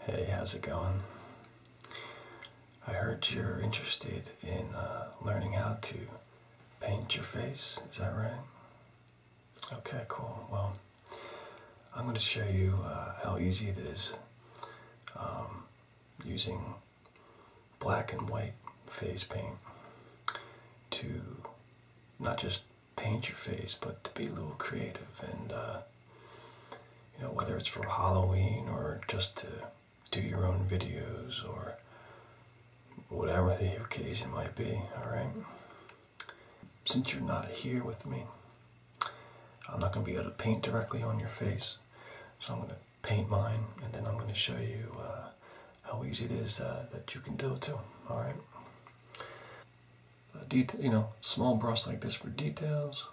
Hey, how's it going? I heard you're interested in uh, learning how to paint your face, is that right? Okay, cool. Well, I'm going to show you uh, how easy it is um, using black and white face paint to not just paint your face, but to be a little creative and uh, you know, whether it's for Halloween or just to do your own videos or whatever the occasion might be, alright? Since you're not here with me, I'm not going to be able to paint directly on your face, so I'm going to paint mine and then I'm going to show you uh, how easy it is uh, that you can do it too, alright? a detail, you know, small brush like this for details,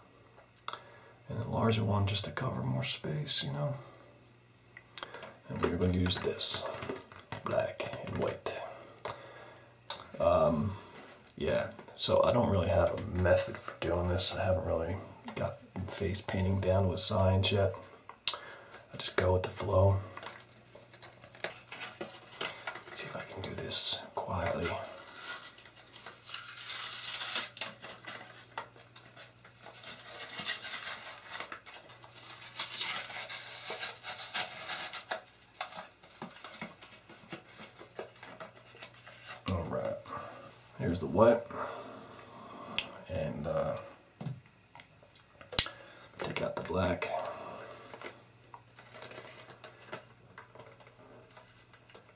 and a larger one just to cover more space, you know. And we're going to use this black and white. Um, yeah, so I don't really have a method for doing this. I haven't really got face painting down to a science yet. I just go with the flow. see if I can do this quietly. All right, here's the what. And uh, take out the black.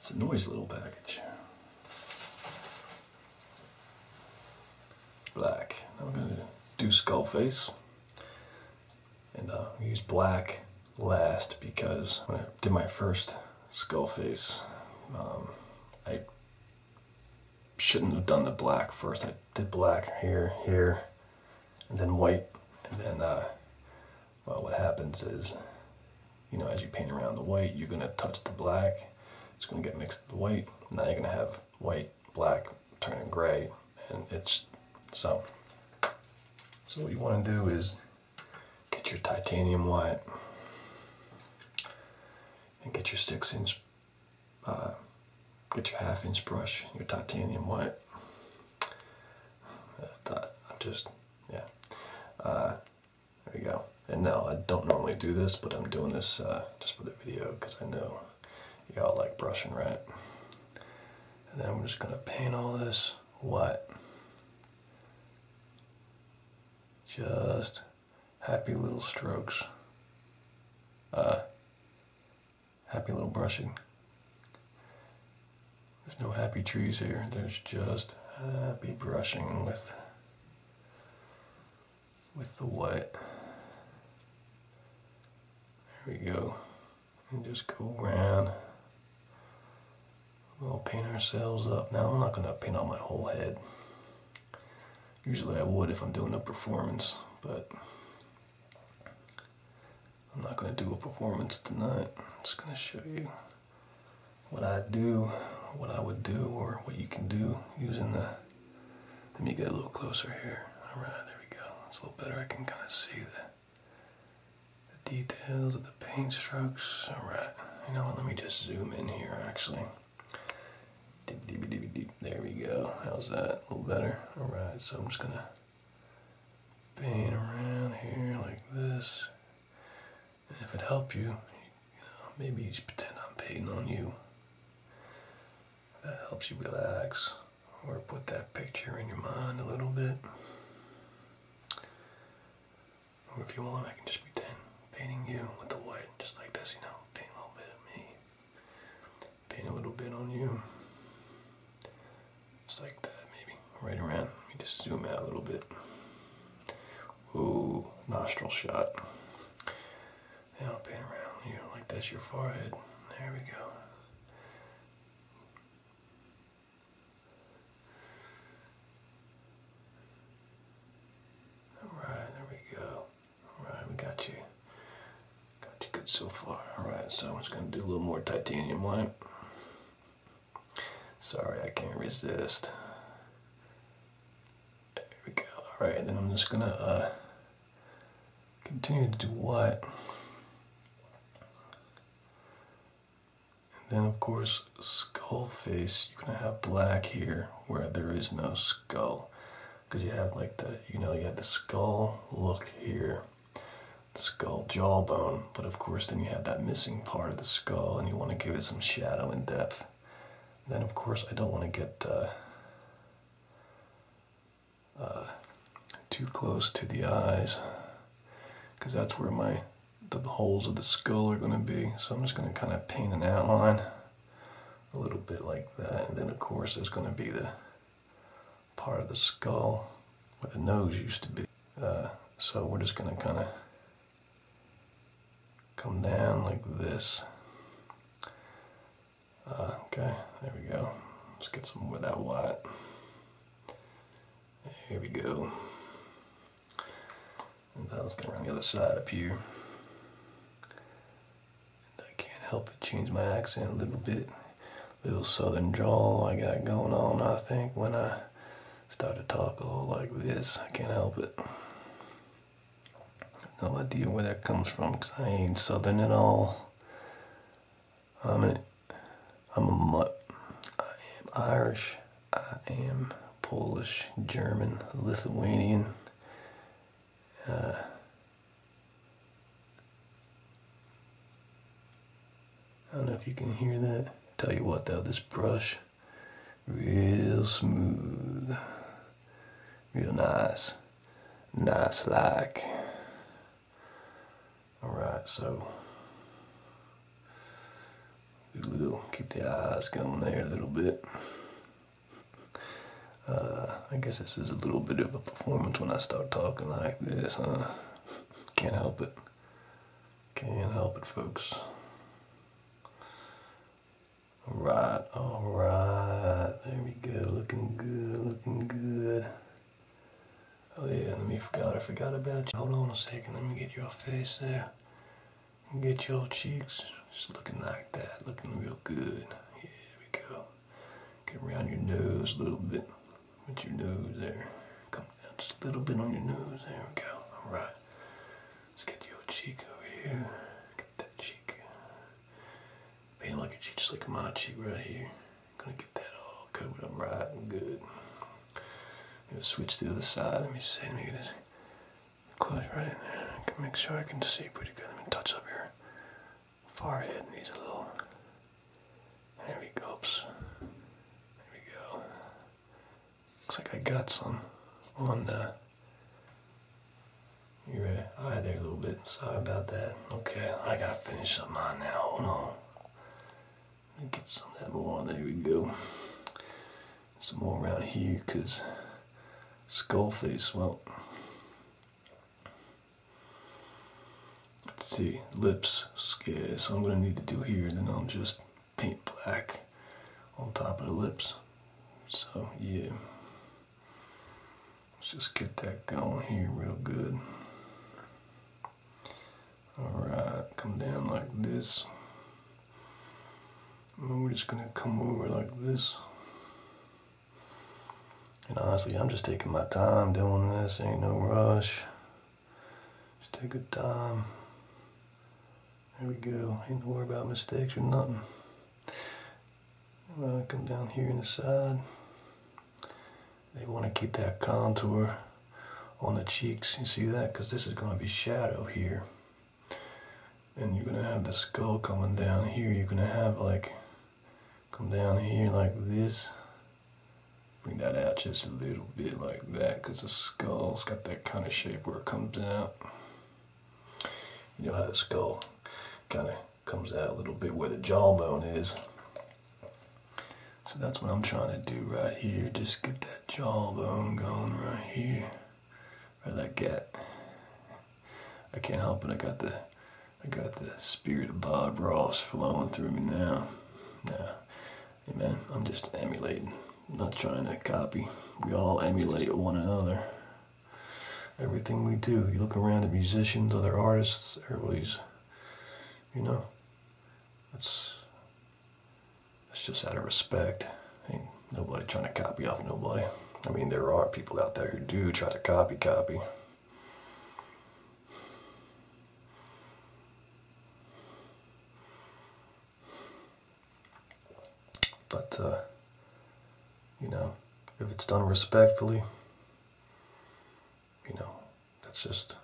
It's a noisy little package. Black. Now we're going to do skull face. And uh, I used black last because when I did my first skull face, um, I shouldn't have done the black first. I did black here, here, and then white. And then, uh, well, what happens is, you know, as you paint around the white, you're going to touch the black. It's going to get mixed with the white. Now you're going to have white, black, turning gray and it's so so what you want to do is get your titanium white and get your six inch uh, get your half inch brush your titanium white I, uh, I just yeah uh, there we go and now I don't normally do this but I'm doing this just for the video because I know y'all like brushing right and then I'm just going to paint all this white. Just happy little strokes. Uh, happy little brushing. There's no happy trees here. There's just happy brushing with with the white. There we go and just go around. We'll paint ourselves up. Now I'm not going to paint on my whole head. Usually I would if I'm doing a performance, but I'm not going to do a performance tonight. I'm just going to show you what I do, what I would do, or what you can do using the, let me get a little closer here. All right, there we go. It's a little better. I can kind of see that the details of the paint strokes. Alright, you know what? Let me just zoom in here actually. There we go. How's that? A little better? Alright, so I'm just gonna paint around here like this. And if it helps you, maybe you just pretend I'm painting on you. That helps you relax or put that picture in your mind a little bit. Or if you want, I can just pretend painting you with the white, just like this, you know, paint a little bit of me, paint a little bit on you, just like that, maybe, right around. Let me just zoom out a little bit. Ooh, nostril shot. Now paint around you like that's your forehead. There we go. Alright, there we go. Alright, we got you. Got you good so far. Alright, so I'm just going to do a little more titanium white. Sorry, I can't resist. There we go. Alright, then I'm just going to uh, continue to do white. And then, of course, skull face. You're going to have black here where there is no skull. Because you have like the, you know, you have the skull look here, the skull jawbone. But of course, then you have that missing part of the skull and you want to give it some shadow and depth. then, of course, I don't want to get. Uh, uh, too close to the eyes because that's where my the holes of the skull are going to be so I'm just going to kind of paint an outline a little bit like that and then of course there's going to be the part of the skull where the nose used to be uh, so we're just going to kind of come down like this uh, okay there we go let's get some more of that white here we go. And that was going around the other side up here. And I can't help it change my accent a little bit. Little southern drawl I got going on, I think, when I start to talk all like this. I can't help it. No idea where that comes from because I ain't southern at all. I'm an, I'm a mutt. I am Irish. I am Polish, German, Lithuanian. Uh, I don't know if you can hear that. Tell you what though, this brush, real smooth, real nice, nice like. All right, so little, keep the eyes going there a little bit. Uh, I guess this is a little bit of a performance when I start talking like this, huh? Can't help it. Can't help it, folks. All right, all right. There we go. Looking good, looking good. Oh yeah, let me forgot. I forgot about you. Hold on a second. Let me get your face there. Get your cheeks. Just looking like that. Looking real good. Here we go. Get around your nose a little bit. With your nose there. Come down just a little bit on your nose. There we go. All right. Let's get your cheek over here. Get that cheek. Paint like a cheek, just like my cheek right here. Gonna get that all covered up right and good. I'm gonna switch to the other side. Let me see. Let me get this close right in there. I can make sure I can see pretty good. Let me touch up here. forehead. Needs a little. There we go. There we go. Looks like I got some on the your uh, eye there a little bit. Sorry about that. Okay, I gotta finish up mine now. Hold on. Get some of that more There we go. Some more around here because Skullface, well, let's see, lips, scarce. So I'm going to need to do here, then I'll just paint black on top of the lips. So, yeah. Let's just get that going here real good. Alright, come down like this. we're just going to come over like this. And honestly, I'm just taking my time doing this. Ain't no rush. Just take your time. There we go. Ain't no worry about mistakes or nothing. come down here in the side. They want to keep that contour on the cheeks. You see that? Because this is going to be shadow here. And you're going to have the skull coming down here. You're going to have like, come down here like this. Bring that out just a little bit like that because the skull's got that kind of shape where it comes out. You know how the skull kind of comes out a little bit where the jawbone is. So that's what I'm trying to do right here. Just get that jawbone going right here. where Right I get? I can't help it. I got the I got the spirit of Bob Ross flowing through me now. Now, hey I'm just emulating. not trying to copy. We all emulate one another. Everything we do. You look around at musicians, other artists, everybody's you know. That's it's just out of respect. Ain't nobody trying to copy off nobody. I mean, there are people out there who do try to copy, copy. But, uh, you know, if it's done respectfully, you know, that's just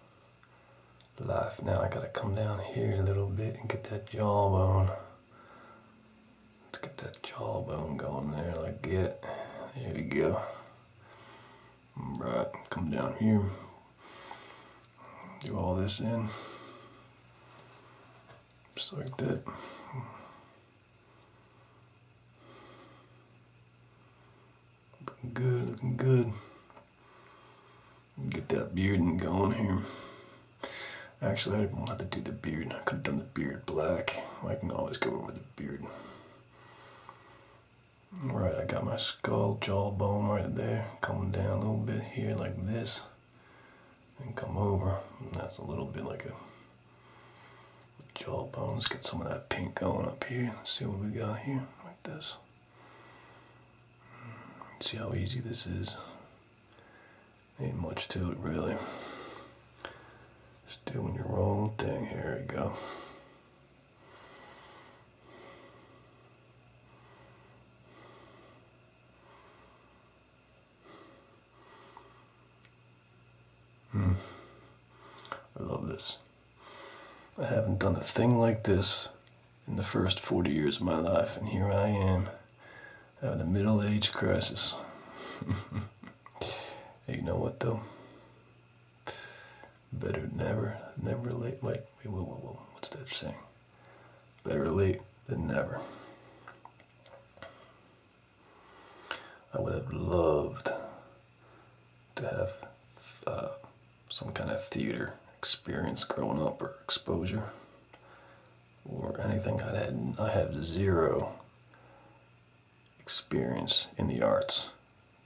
life. Now I gotta come down here a little bit and get that jawbone. let get that jawbone going there like that. There we go. Right, come down here. Do all this in. Just like that. Looking good, looking good. Get that beard bearding going here. Actually, I didn't have to do the beard. I could have done the beard black. I can always go over the beard. All right, I got my skull jawbone right there. Coming down a little bit here like this. And come over. And that's a little bit like a jawbone. Let's get some of that pink going up here. see what we got here like this see how easy this is. Ain't much to it really. Just doing your own thing. Here we go. Mm. I love this. I haven't done a thing like this in the first 40 years of my life, and here I am having a middle age crisis. you know what, though? Better never, never late. Wait, whoa, whoa, whoa. What's that saying? Better late than never. I would have loved to have uh, some kind of theater experience growing up or exposure or anything. I had I had zero experience in the arts.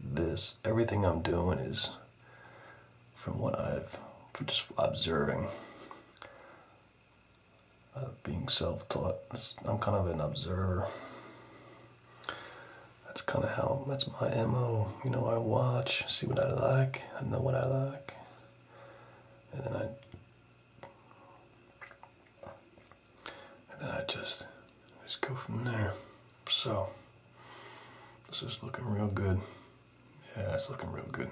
This everything I'm doing is from what I've just observing. Uh, being self-taught, I'm kind of an observer that's kind of how that's my mo you know i watch see what i like i know what i like and then i and then i just just go from there so this is looking real good yeah it's looking real good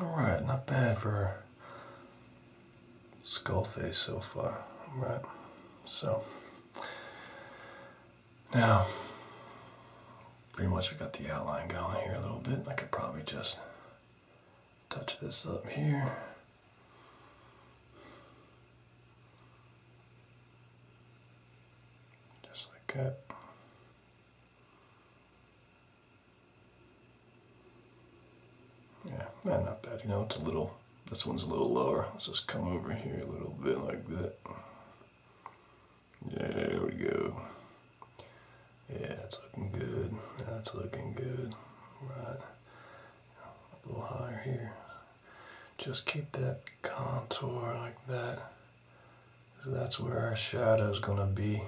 all right not bad for skull face so far, right? So now, pretty much we got the outline going here a little bit. I could probably just touch this up here. Just like that. Yeah, not bad. You know, it's a little this one's a little lower. Let's just come over here a little bit like that. There we go. Yeah, that's looking good. That's looking good. Right. A little higher here. Just keep that contour like that. That's where our shadow's gonna be.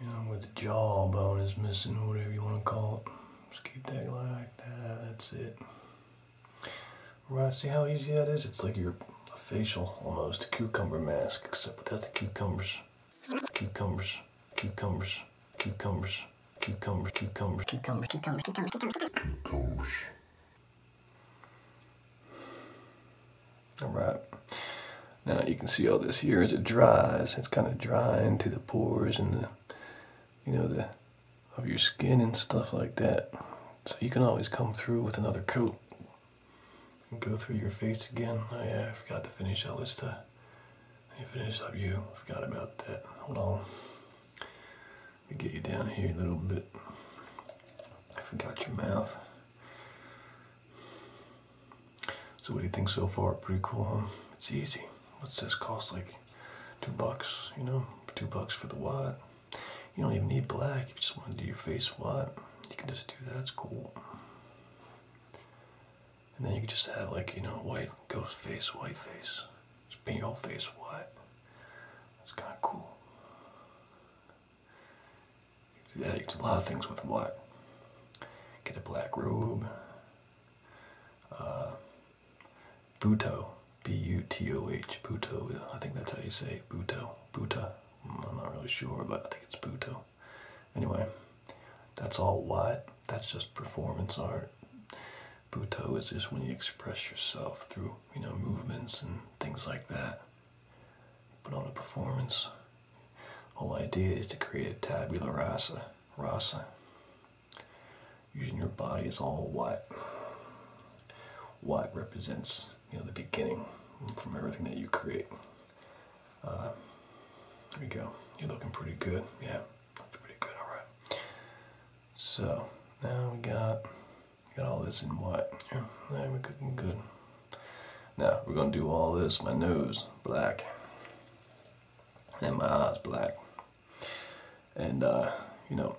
You know, with the jawbone is missing, or whatever you wanna call it. Just keep that like that. That's it. Right, see how easy that is? It's like your facial almost, a cucumber mask, except without the cucumbers. Cucumbers, cucumbers, cucumbers, cucumbers, cucumbers, cucumbers, cucumbers, cucumbers, cucumbers. cucumbers. All right. Now you can see all this here as it dries. It's kind of drying to the pores and the you know, the of your skin and stuff like that. So you can always come through with another coat and go through your face again. Oh yeah, I forgot to finish that list. us uh, finish up you. Forgot about that. Hold on. Let me get you down here a little bit. I forgot your mouth. So what do you think so far? Pretty cool, huh? It's easy. What's this cost? Like two bucks, you know, two bucks for the watt. You don't even need black if you just want to do your face watt. You can just do that, it's cool. And then you can just have like, you know, white ghost face, white face. Just paint your whole face white. It's kind of cool. You do that, you do a lot of things with white. Get a black robe. Uh, Bhutto, B-U-T-O-H, Bhutto. I think that's how you say Bhutto, Bhuta. Mm, I'm not really sure, but I think it's Bhutto. Anyway, that's all white. That's just performance art. Bhutto is just when you express yourself through, you know, movements and things like that. But on a performance. Whole idea is to create a tabula rasa, rasa, usually your body is all white. White represents you know the beginning from everything that you create. Uh, there we go. You're looking pretty good. Yeah, looking pretty good. All right. So now we got got all this in white. Yeah, now good. Now we're gonna do all this. My nose black, and my eyes black. And, uh, you know,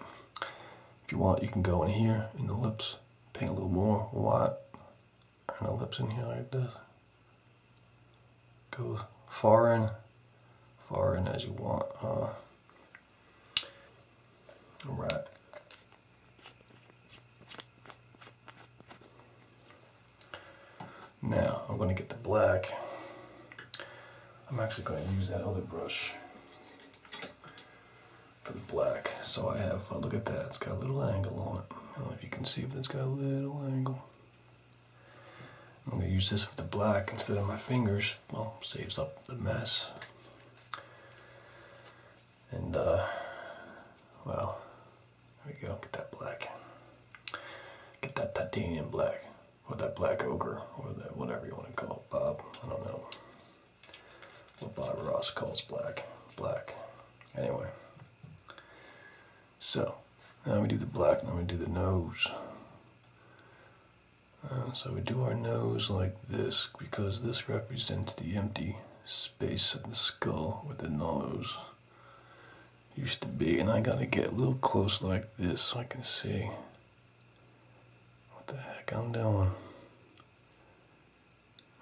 if you want, you can go in here in the lips, paint a little more white, and the lips in here like this. Go far in, far in as you want. Uh, all right. Now I'm going to get the black I'm actually going to use that other brush for the black. So I have, uh, look at that, it's got a little angle on it. I don't know if you can see, but it's got a little angle. I'm going to use this for the black instead of my fingers. Well, saves up the mess. And, uh, well, there we go, get that black. Get that titanium black or that black ogre, or that whatever you want to call it, Bob. I don't know what Bob Ross calls black. Black. Anyway. So, now we do the black, now we do the nose. Uh, so we do our nose like this because this represents the empty space of the skull with the nose used to be and I gotta get a little close like this so I can see what the heck I'm doing.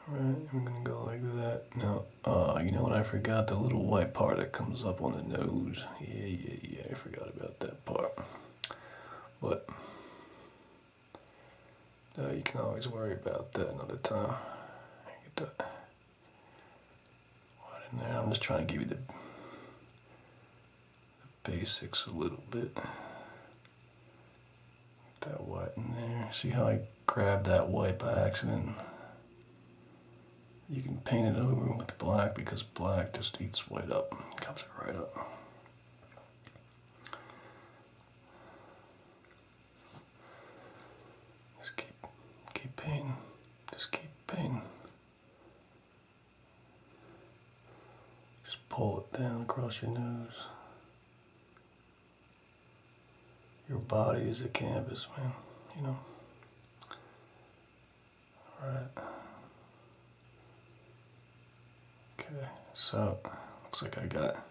Alright, I'm gonna go like that. Now, uh, you know what I forgot? The little white part that comes up on the nose. Yeah, yeah, yeah, I forgot about that part. But, uh, you can always worry about that another time. Get that. Right in there. I'm just trying to give you the, basics a little bit. that white in there. See how I grabbed that white by accident? You can paint it over with black because black just eats white up, cups it right up. Just keep, keep painting, just keep painting. Just pull it down across your nose. Your body is a canvas, man, you know. All right. Okay, so looks like I got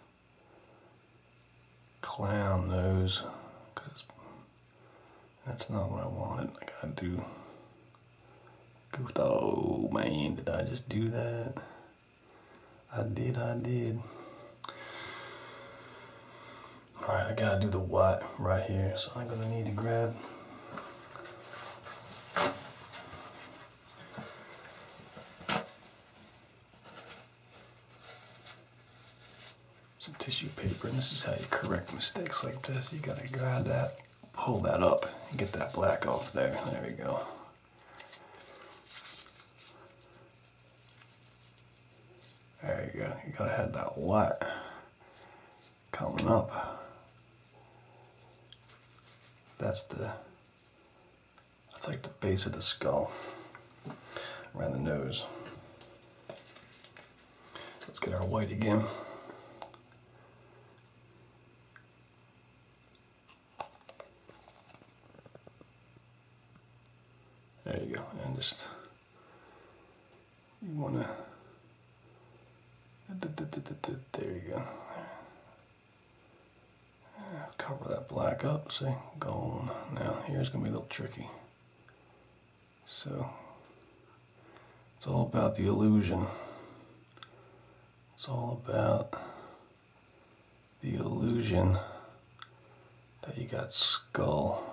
clown nose because that's not what I wanted. I gotta do. Goofed. Oh man, did I just do that? I did, I did. Alright, I gotta do the white right here. So I'm gonna need to grab some tissue paper. And this is how you correct mistakes like this. You gotta grab that pull that up and get that black off there. There we go. There you go. You gotta have that white coming up. That's the, that's like the base of the skull, around the nose. Let's get our white again. There you go, and just you wanna there you go. Cover that black up, see? Gone. Now here's gonna be a little tricky. So, it's all about the illusion. It's all about the illusion that you got skull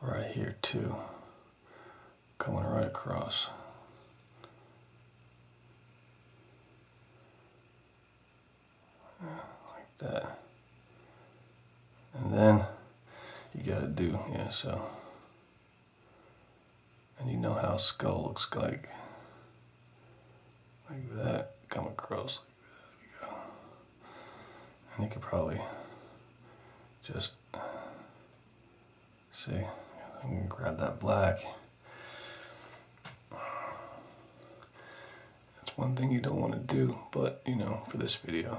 right here too, coming right across. Like that. And then you gotta do, yeah, so and you know how skull looks like. Like that, come across like that. You go. And you could probably just see. I'm gonna grab that black. That's one thing you don't want to do, but you know, for this video,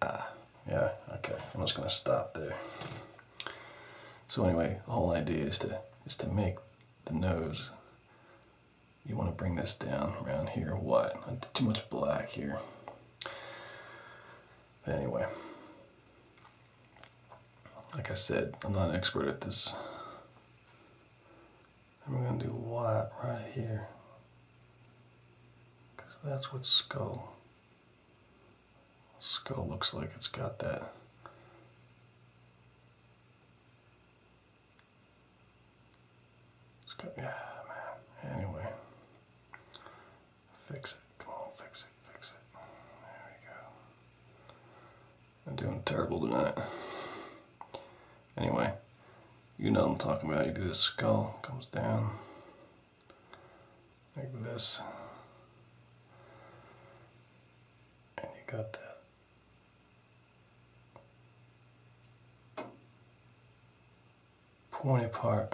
Ah, yeah, okay. I'm just gonna stop there. So anyway, the whole idea is to is to make the nose. You want to bring this down around here. What? Too much black here. anyway, like I said, I'm not an expert at this. I'm gonna do white right here. Because that's what skull. Skull looks like it's got that. It's got, yeah, man. Anyway, fix it. Come on, fix it, fix it. There we go. I'm doing terrible tonight. Anyway, you know I'm talking about. You do this skull, comes down like this. And you got that. pointy part.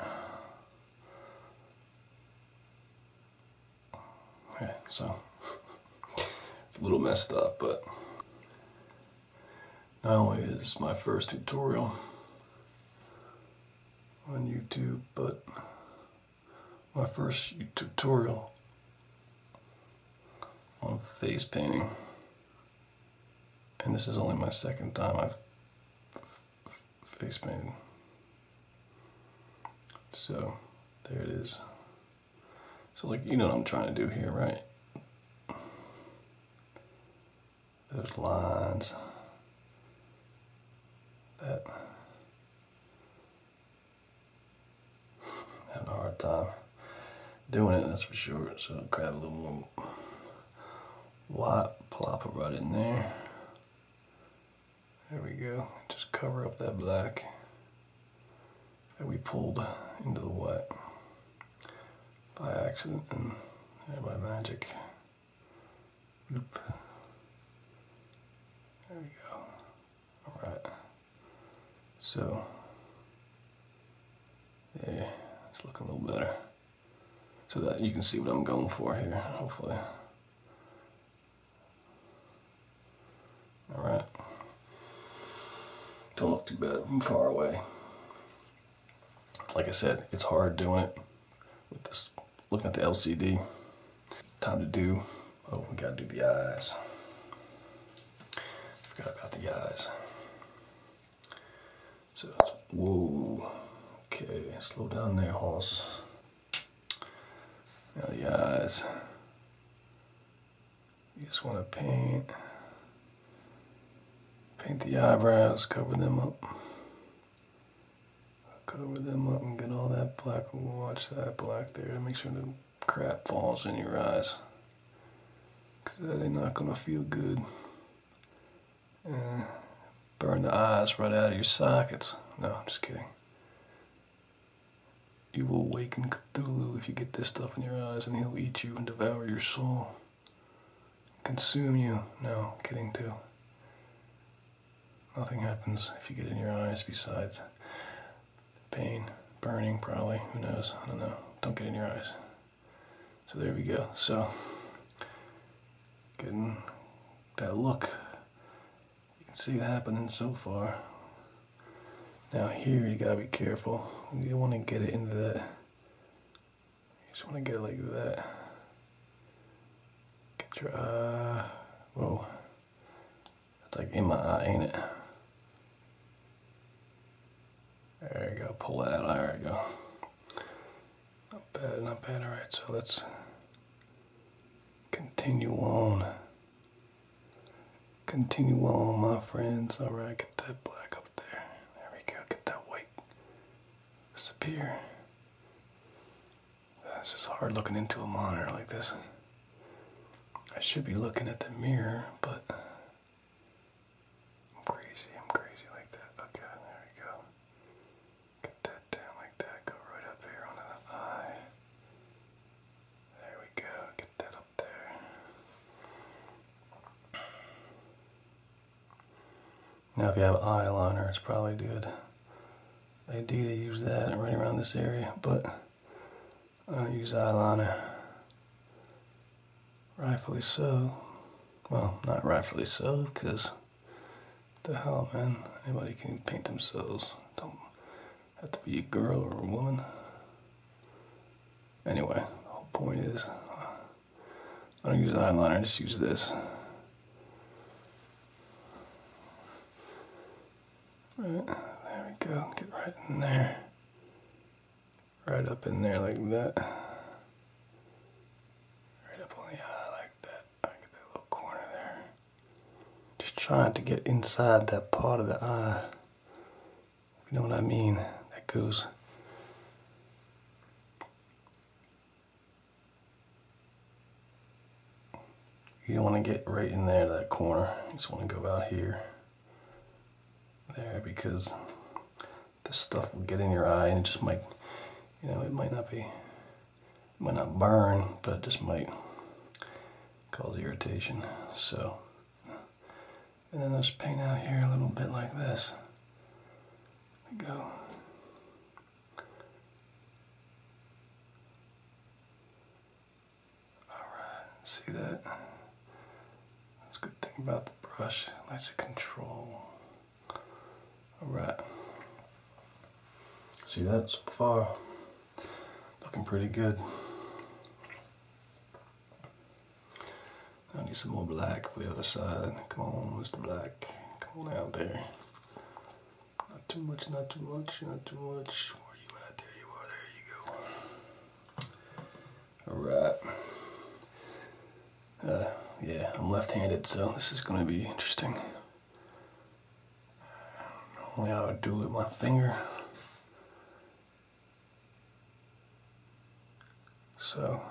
Okay, so it's a little messed up, but not only is my first tutorial on YouTube, but my first tutorial on face painting. And this is only my second time I've face painted. So there it is. So like, you know what I'm trying to do here, right? those lines that having a hard time doing it that's for sure so grab a little more white plop it right in there there we go just cover up that black that we pulled into the white by accident and by magic. Loop. There we go. Alright. So, yeah, it's looking a little better. So that you can see what I'm going for here, hopefully. Alright. Don't look too bad I'm far away like I said, it's hard doing it with this, looking at the LCD. Time to do, oh, we gotta do the eyes. Forgot about the eyes. So that's, whoa. Okay, slow down there, horse. Now the eyes. You just wanna paint Paint the eyebrows, cover them up. Cover them up and get all that black. Watch that black there. Make sure the crap falls in your eyes. Because that ain't not going to feel good. burn the eyes right out of your sockets. No, I'm just kidding. You will awaken Cthulhu if you get this stuff in your eyes, and he'll eat you and devour your soul consume you. No, kidding too. Nothing happens if you get in your eyes besides pain, burning probably, who knows, I don't know. Don't get in your eyes. So there we go. So, getting that look. You can see it happening so far. Now here you gotta be careful. You want to get it into the just want to get like that. Get your eye. Uh, whoa. That's like in my eye, ain't it? There you go. Pull that out. There you go. Not bad, not bad. All right, so let's continue on. Continue on, my friends. All right, get that black up there. There we go. Get that white disappear. This is hard looking into a monitor like this. I should be looking at the mirror, but I'm crazy, I'm crazy like that. Okay, there we go. Get that down like that, go right up here onto the eye. There we go, get that up there. Now if you have eyeliner, it's probably good idea to use that right around this area, but I uh, don't use eyeliner. Rightfully so. Well, not rightfully so, because the hell, man, anybody can paint themselves. Don't have to be a girl or a woman. Anyway, the whole point is uh, I don't use eyeliner, I just use this. Right, there we go, get right in there. Right up in there like that. Right up on the eye like that. I get that little corner there. Just try not to get inside that part of the eye. you know what I mean. That goes you don't want to get right in there to that corner. You just want to go out here. There, because this stuff will get in your eye and it just might, you know, it might not be, might not burn, but it just might cause irritation. So, and then just paint out here a little bit like this. go. Alright, see that? That's a good thing about the brush, lots of control. Alright. See that so far? Looking pretty good. I need some more black for the other side. Come on, Mr. Black. Come on out there. Not too much, not too much, not too much. There you are, there you go. Alright. Uh, yeah, I'm left-handed, so this is going to be interesting. Only I would do with my finger. So,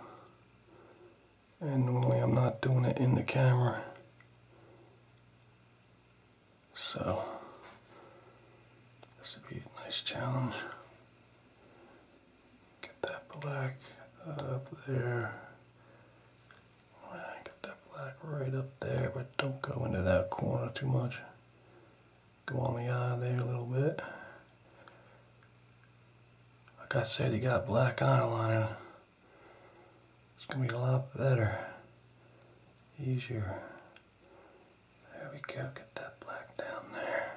and normally I'm not doing it in the camera so this would be a nice challenge get that black up there get that black right up there but don't go into that corner too much go on the eye there a little bit like I said he got black eyeliner it's going to be a lot better. Easier. There we go. Get that black down there.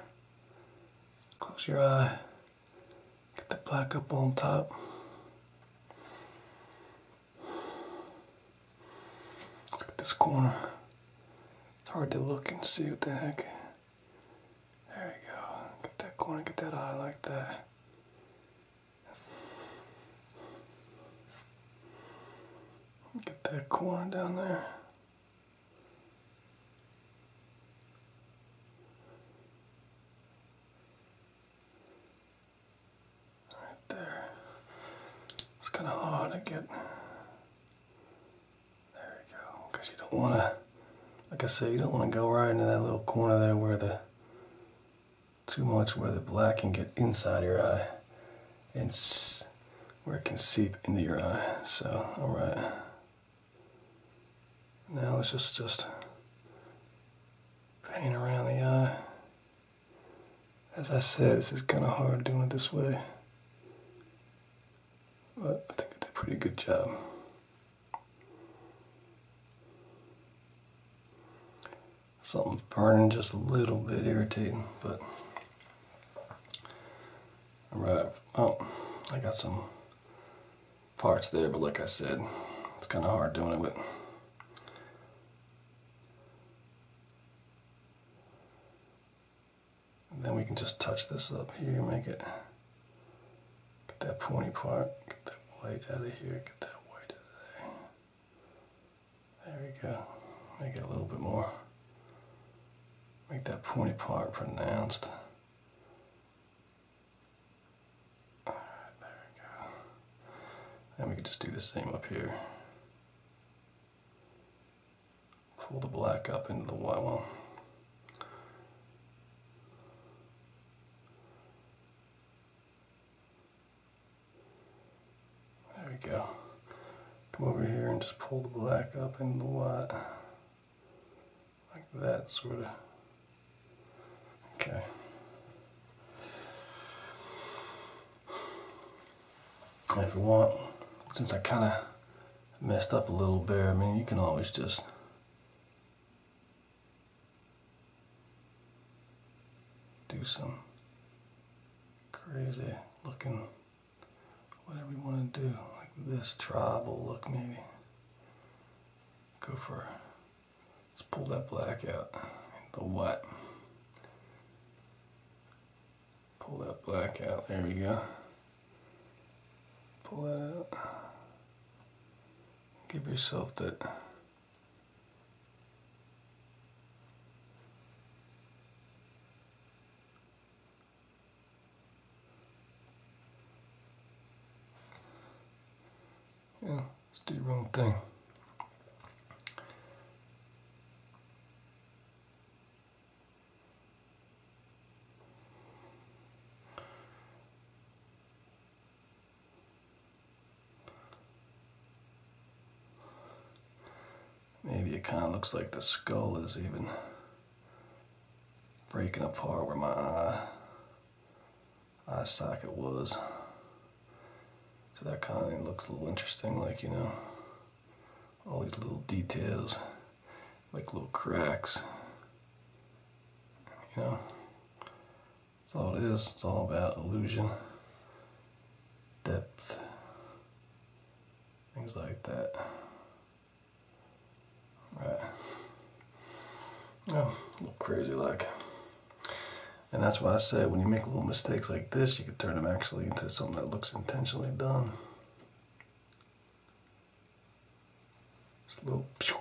Close your eye. Get the black up on top. Look at this corner. It's hard to look and see what the heck there we go. Get that corner, get that eye like that. Get that corner down there. Right there. It's kind of hard to get. There we go. Because you don't want to like I said, you don't want to go right into that little corner there where the too much where the black can get inside your eye and where it can seep into your eye. So, all right. Now let's just just paint around the eye. As I said, this is kind of hard doing it this way, but I think I did a pretty good job. Something's burning just a little bit irritating, but all right. Oh, I got some parts there, but like I said, it's kind of hard doing it with. then we can just touch this up here, make it Get that pony part, get that white out of here, get that white out of there. There we go. Make it a little bit more. Make that pony part pronounced. Right, there we go. And we can just do the same up here. Pull the black up into the white one. There we go. Come over here and just pull the black up into the white. Like that, sort of. Okay. if you want, since I kind of messed up a little bit, I mean, you can always just do some crazy looking whatever you want to do like this tribal look maybe go for let's pull that black out the what pull that black out there we go pull that out give yourself that yeah just do your own thing Maybe it kind of looks like the skull is even breaking apart where my eye, socket was. So that kind of looks a little interesting, like, you know, all these little details, like little cracks, you know. It's all it is. It's all about illusion, depth, things like that. Right. Yeah, a little crazy like. And that's why I say when you make little mistakes like this, you can turn them actually into something that looks intentionally done. Just a little pew,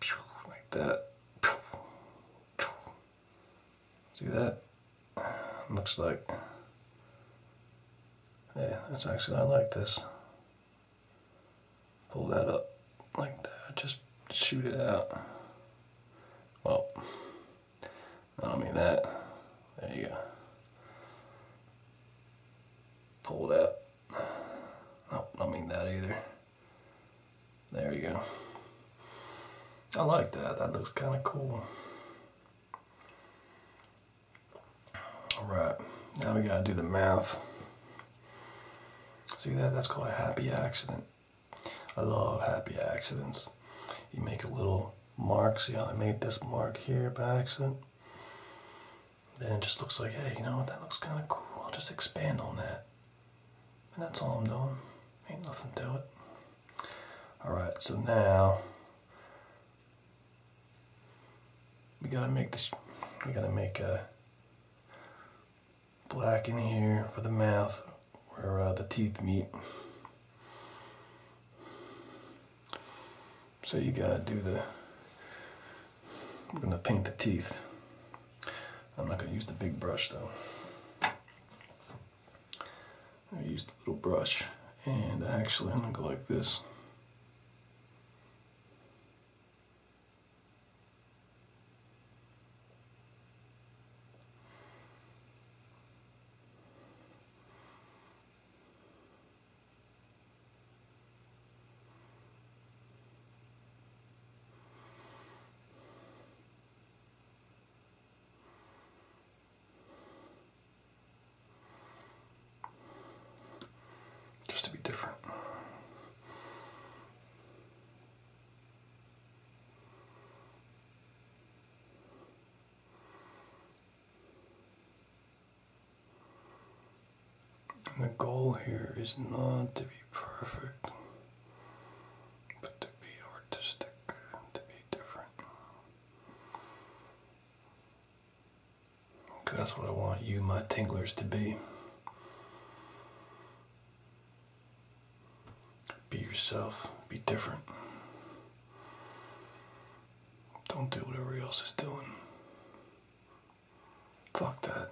pew, like that. Pew, pew. See that? Looks like. Yeah, that's actually, I like this. Pull that up like that, just shoot it out. Well, I do not mean that, there you go. Pull it out. No, I don't mean that either. There you go. I like that. That looks kind of cool. All right. Now we got to do the math. See that? That's called a happy accident. I love happy accidents. You make a little mark. See how I made this mark here by accident? Then it just looks like, hey, you know what? That looks kind of cool. I'll just expand on that that's all I'm doing. Ain't nothing to it. Alright, so now we gotta make this we gotta make a black in here for the mouth where uh, the teeth meet. So you gotta do the I'm gonna paint the teeth. I'm not gonna use the big brush though. I use the little brush and actually I'm gonna go like this. Just to be different. And the goal here is not to be perfect. But to be artistic, to be different. that's what I want you, my tinglers, to be. Be yourself, be different. Don't do whatever else is doing. Fuck that.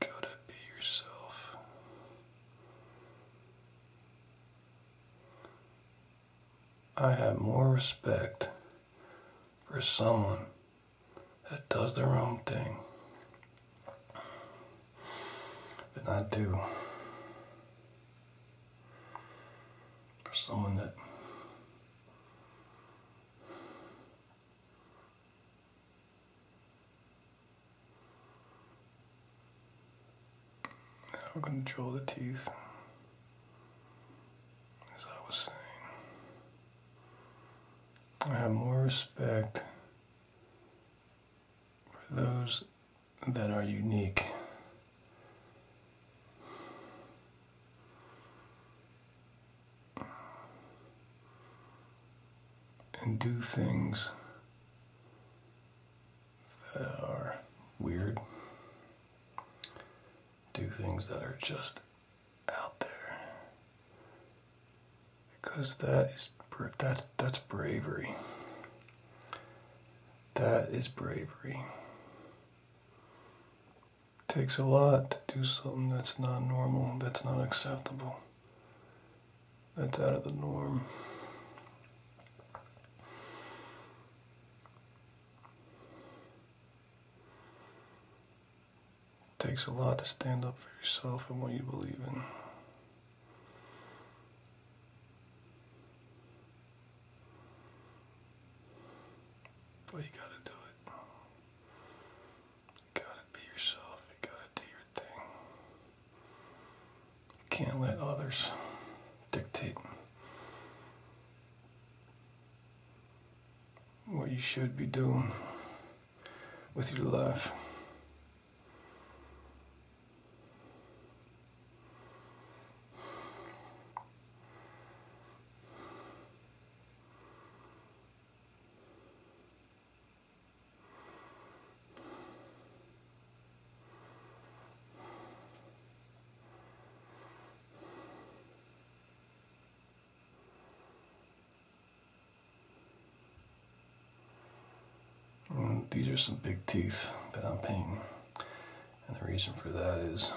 You gotta be yourself. I have more respect for someone that does their own thing than I do for someone that now control the teeth, as I was saying. I have more respect for those that are unique and do things that are weird, do things that are just out there, because that is that that's bravery. That is bravery takes a lot to do something that's not normal, that's not acceptable, that's out of the norm. It takes a lot to stand up for yourself and what you believe in. But you gotta do it. You gotta be yourself. You gotta do your thing. can't let others dictate what you should be doing with your life these are some big teeth that I'm painting. And the reason for that is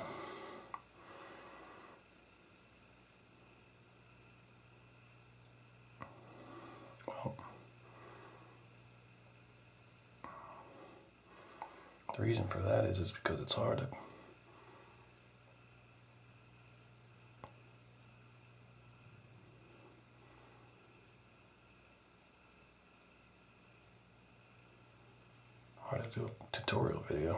the reason for that is is because it's hard to hard to do a tutorial video.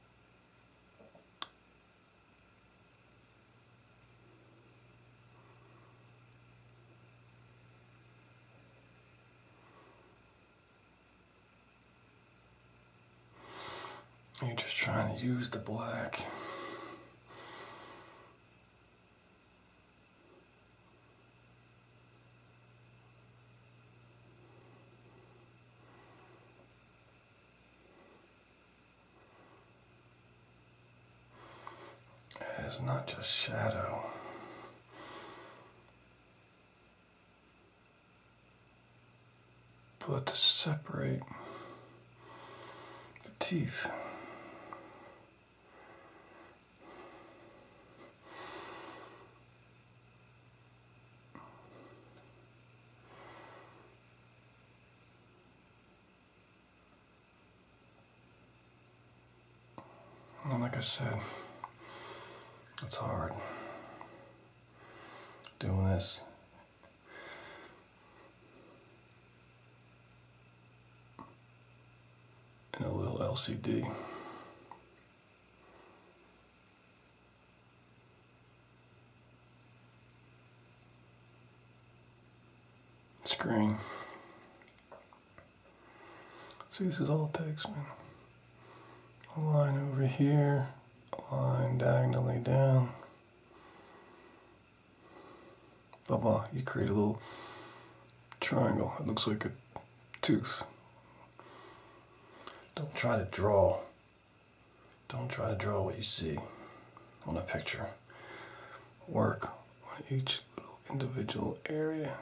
You're just trying to use the black. It's not just shadow. But to separate the teeth like I said, it's hard doing this. in a little LCD screen. See, this is all text, man. line over here, line diagonally down. Blah blah. You create a little triangle. It looks like a tooth. Don't try to draw don't try to draw what you see on a picture. Work on each little individual area.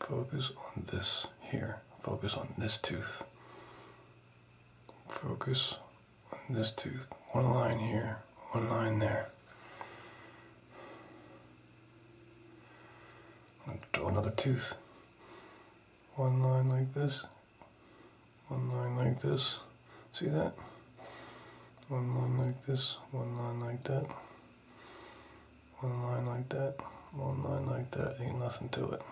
Focus on this here. Focus on this tooth. Focus on this tooth. One line here, one line there. draw another tooth one line like this, one line like this, see that? One line like this, one line like that, one line like that, one line like that, ain't nothing to it.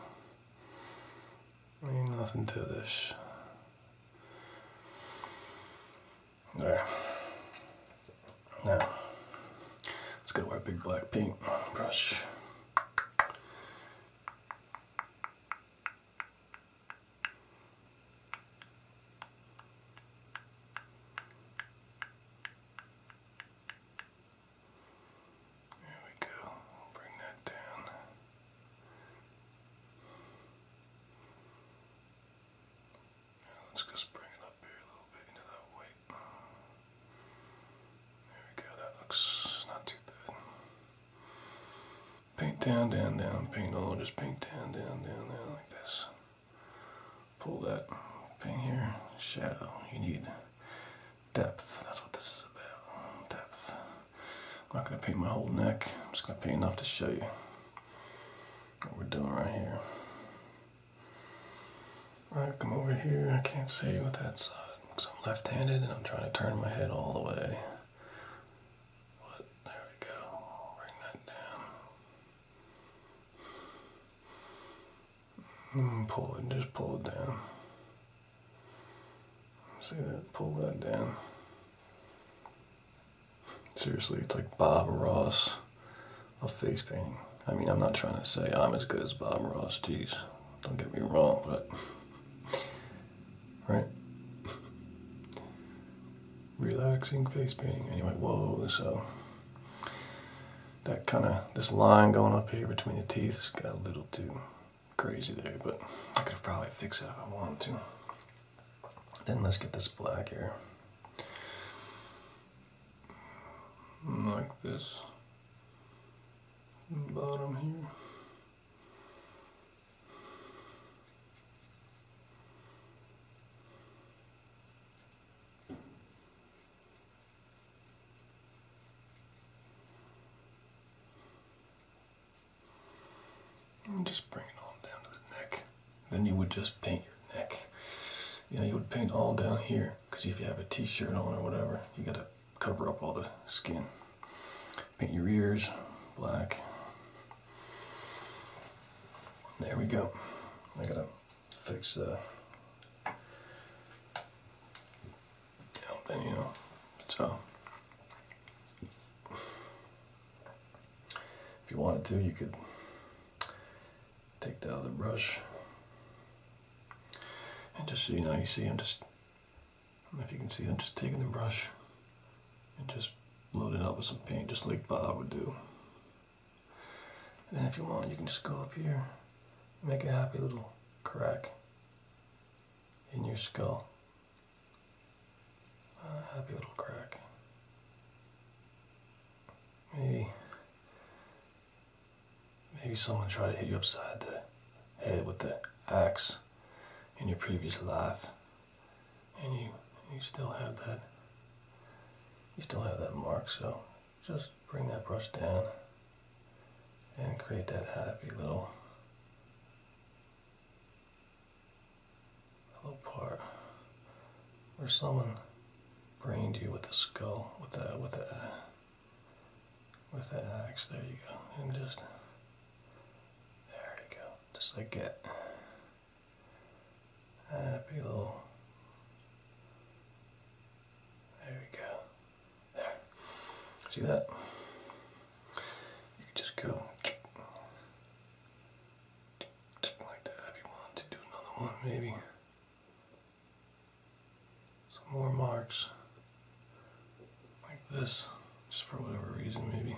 Ain't nothing to this. There. Now, let's go a big black paint brush. There we go. bring that down. Now let's just bring it up here a little bit into that way. There we go, that looks not too bad. Paint down, down, down, paint all, just paint down, down, down, down, like this. Pull that paint here, shadow, you need depth, that's what this is about, depth. I'm not going to paint my whole neck, I'm just going to paint enough to show you what we're doing right here. I come over here. I can't see with that side because I'm left-handed and I'm trying to turn my head all the way. But there we go. Bring that down. Hmm, pull it, just pull it down. See that? Pull that down. Seriously, it's like Bob Ross, a face painting. I mean, I'm not trying to say I'm as good as Bob Ross, jeez, don't get me wrong, but. Right? Relaxing face painting. Anyway, whoa, so. That kind of, this line going up here between the teeth has got a little too crazy there, but I could probably fix it if I want to. Then let's get this black here. Like this bottom here. just bring it all down to the neck. Then you would just paint your neck. You you would paint all down here because if you have a t-shirt on or whatever, you got to cover up all the skin. Paint your ears black. There we go. I gotta fix the. Oh, then you know. So, if you wanted to, you could take the other brush. And just you know, you see, I'm just if you can see, I'm just taking the brush and just loading up with some paint, just like Bob would do. And then if you want, you can just go up here make a happy little crack in your skull. A happy little crack. Maybe Maybe someone tried to hit you upside the head with the axe in your previous life, and you you still have that. You still have that mark, so just bring that brush down and create that happy little little part where someone brained you with a skull with a with a with that axe. There you go. And just, there you go. Just like that. Happy little. There we go. There. See that? You can just go like that if you want to do another one, maybe some more marks like this, just for whatever reason maybe.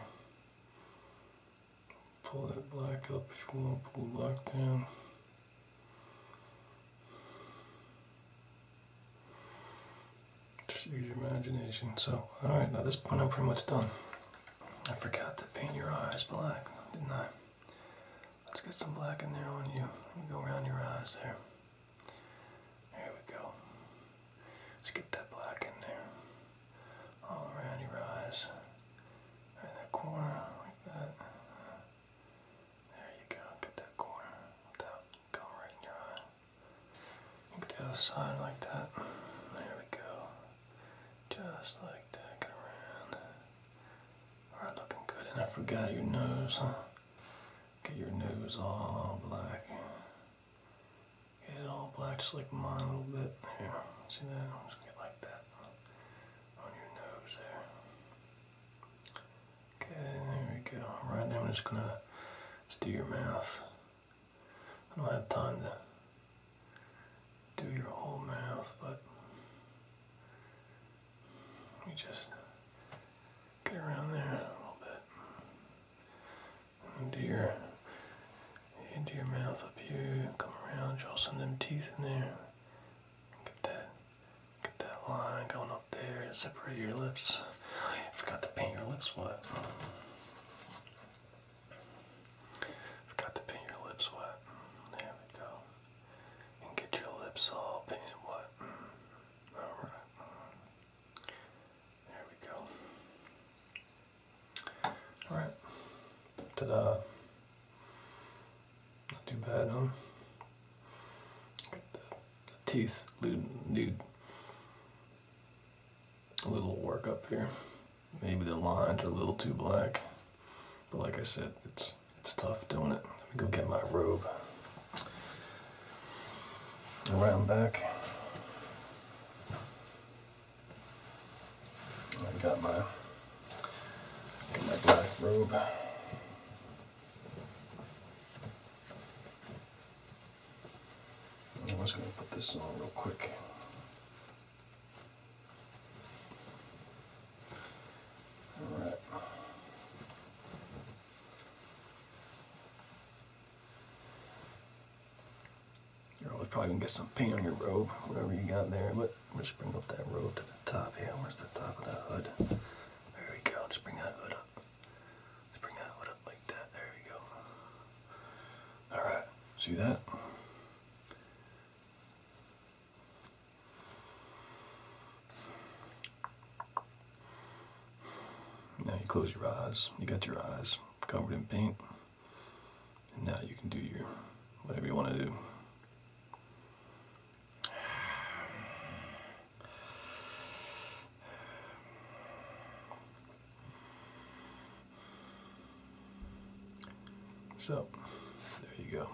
Pull that black up if you want, pull the black down. Just use your imagination. So, alright, now this point I'm pretty much done. I forgot to paint your eyes black, didn't I? Let's get some black in there on you. go around your eyes there. There we go. Let's get that black in there. All around your eyes. Right that corner, like that. There you go. Get that corner without going right in your eye. Get the other side like that. There we go. Just like that. around. Alright, looking good. And I forgot your nose, Get your nose all black. Get it all black, just like mine a little bit. Here, see that? I'm just gonna get like that on your nose there. Okay, there we go. Right there, I'm just gonna do your mouth. I don't have time to do your whole mouth, but we just Get around there a little bit. and do your, into your mouth up here. Come around, you'll of them teeth in there. Get that, get that line going up there. Separate your lips. I forgot to paint your lips white. Forgot to paint your lips white. There we go. And get your lips all painted white. Alright. There we go. Alright. ta Not too bad, huh? The, the teeth need a little work up here. Maybe the lines are a little too black. But like I said, it's it's tough doing it. Let me go get my robe around back. I've got my, my black robe. I am just going to put this on real quick. All right. You're always probably gonna get some paint on your robe, whatever you got there. But let's bring up that robe to the top here. Where's the top of that hood? There we go. Just bring that hood up. Just bring that hood up like that. There we go. All right. See that? Now you close your eyes. You got your eyes covered in paint. And now you can do your whatever you want to do. So, there you go.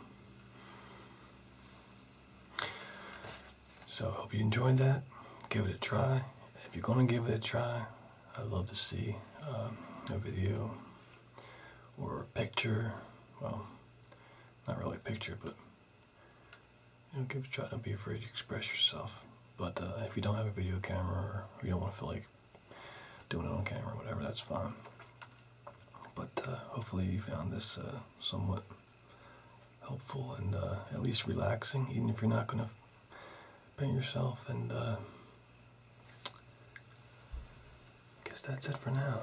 So I hope you enjoyed that. Give it a try. If you're going to give it a try, I'd love to see um, a video or a picture. Well, not really a picture, but you know, give it a try. Don't be afraid to express yourself. But uh, if you don't have a video camera or you don't want to feel like doing it on camera, whatever, that's fine. But uh, hopefully you found this uh, somewhat helpful and uh, at least relaxing, even if you're not going to paint yourself. And I uh, guess that's it for now.